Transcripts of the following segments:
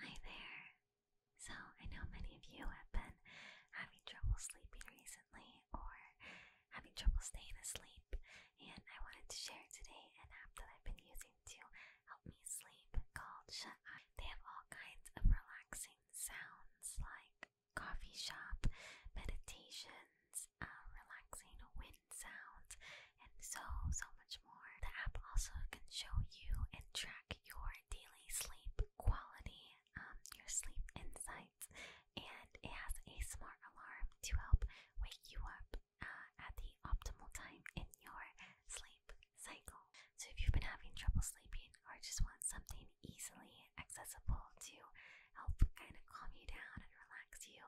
Hi there. So, I know many of you have been having trouble sleeping recently or having trouble staying asleep, and I wanted to share today an app that I've been using to help me sleep called Shut Eye. They have all kinds of relaxing sounds like coffee shop, meditations, uh, relaxing wind sounds, and so, so much more. The app also can show you and track your daily sleep quality, um, your sleep insights, and it has a smart alarm to help wake you up uh, at the optimal time in your sleep cycle. So, if you've been having trouble sleeping or just want something easily accessible to help kind of calm you down and relax you,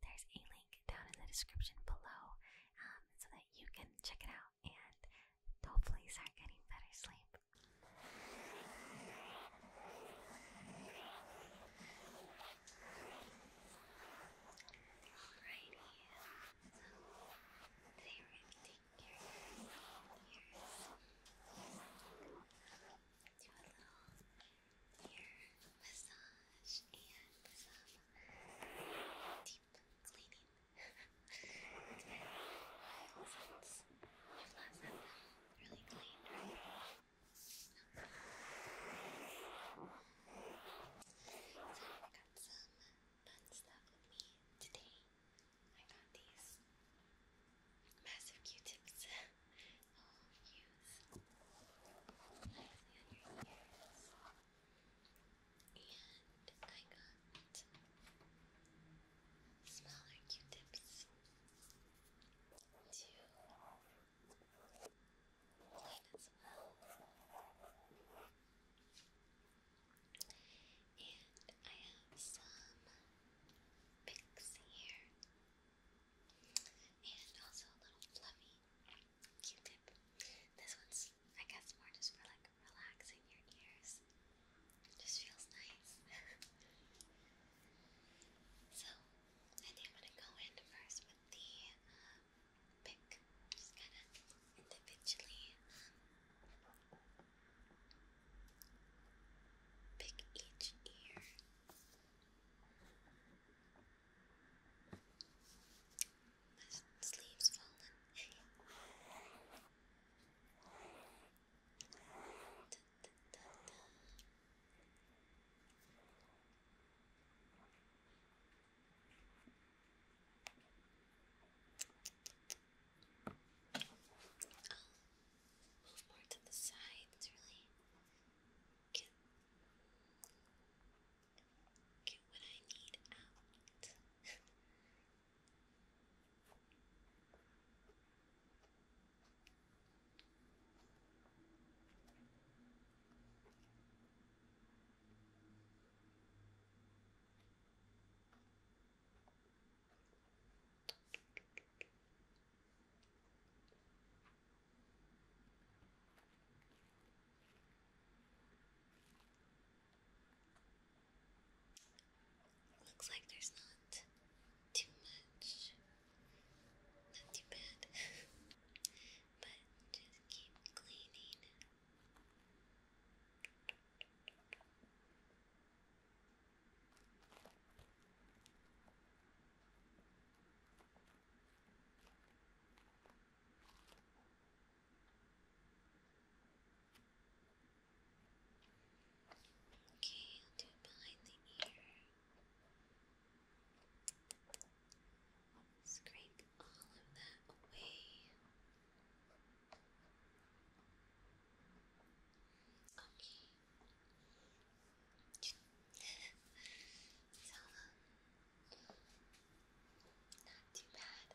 there's a link down in the description below um, so that you can check it out and hopefully start getting better sleep. Alrighty, so today are going to be a little ear massage and deep cleaning. it's very really clean, So i got some fun stuff with me today. I got these massive Q-tips I'll use nicely on your ears. And I got smaller Q tips to clean as well. And I have some picks here. And also a little fluffy Q-tip. This one's, I guess, more just for like relaxing your ears. just feels nice. so, I think I'm gonna go in first with the um, pick. Just kind of individually um, pick each ear. My sleeve's falling. da, oh, da, move more to the side. It's really get Get what I need out. Looks like there's not too much, not too bad, but just keep cleaning. Okay, I'll do behind the ear. Scrape all of that away. Okay. so, not too bad this year.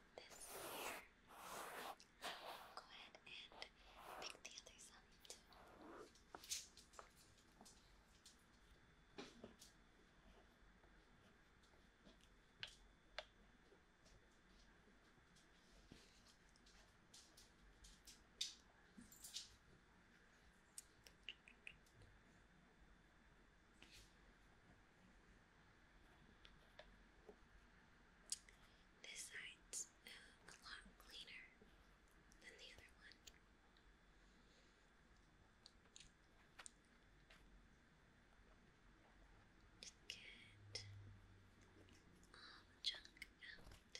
go ahead and pick the other side this side's uh, a lot cleaner than the other one. Just get all the junk out.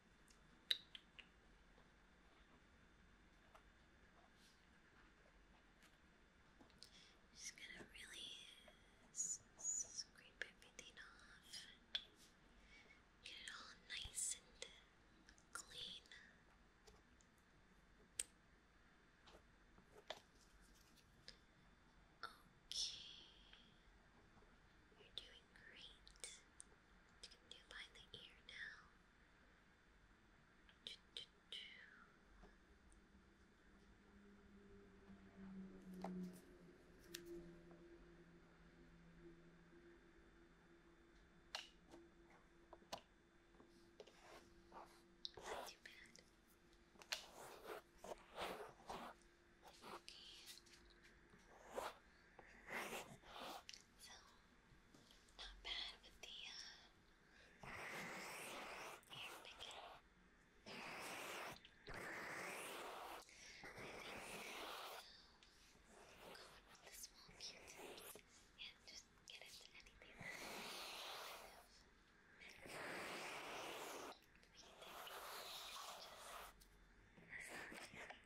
Just gonna really scrape everything off. Get it all nice and clean. Okay. You're doing great. You by the ear now. Not too bad. Okay. So, not bad with the uh, air picking. I think I'll go in with the small cutesy and just get into anything that kind of we can take. Just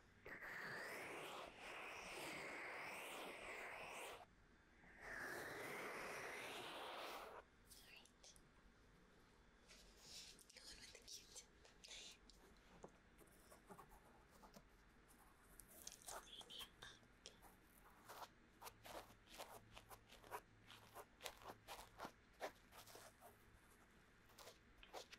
Go on with the cute. Clean you up. Good.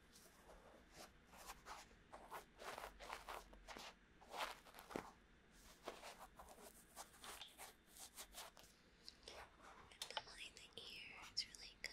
Behind the ear, it's really good.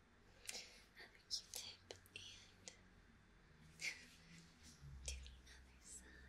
have a Q-tip and to the other side.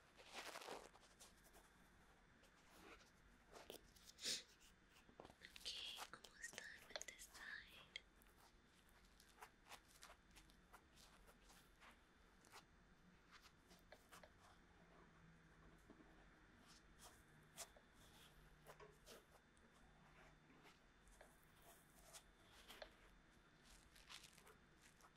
Okay, almost done with this side.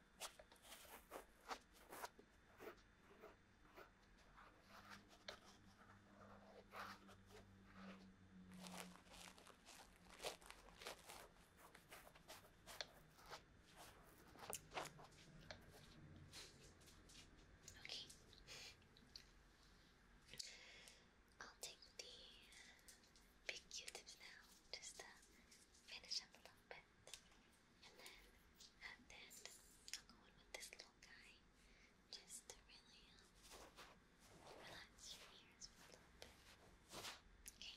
Okay. I'll take the big q now just to finish up a little bit. And then, and I'll go in with this little guy just to really relax your ears a little bit. Okay,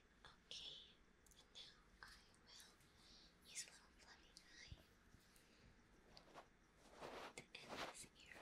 Okay, and now I will use a little fluffy to end this ear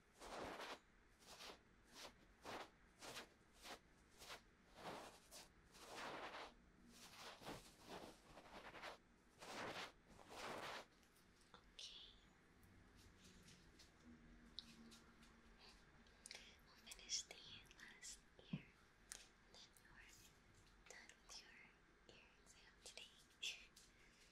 We'll finish the last ear, and then you're done with your ear exam today.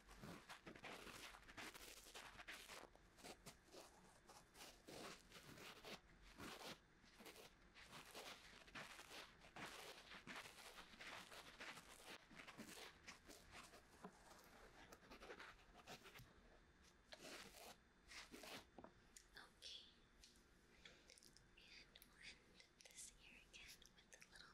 Okay. And we'll end this here again with a little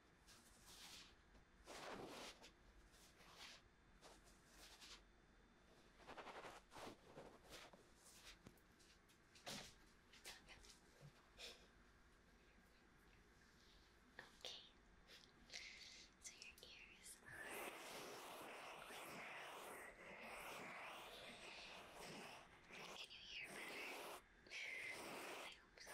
Okay, so your ears are Can you hear better? I hope so.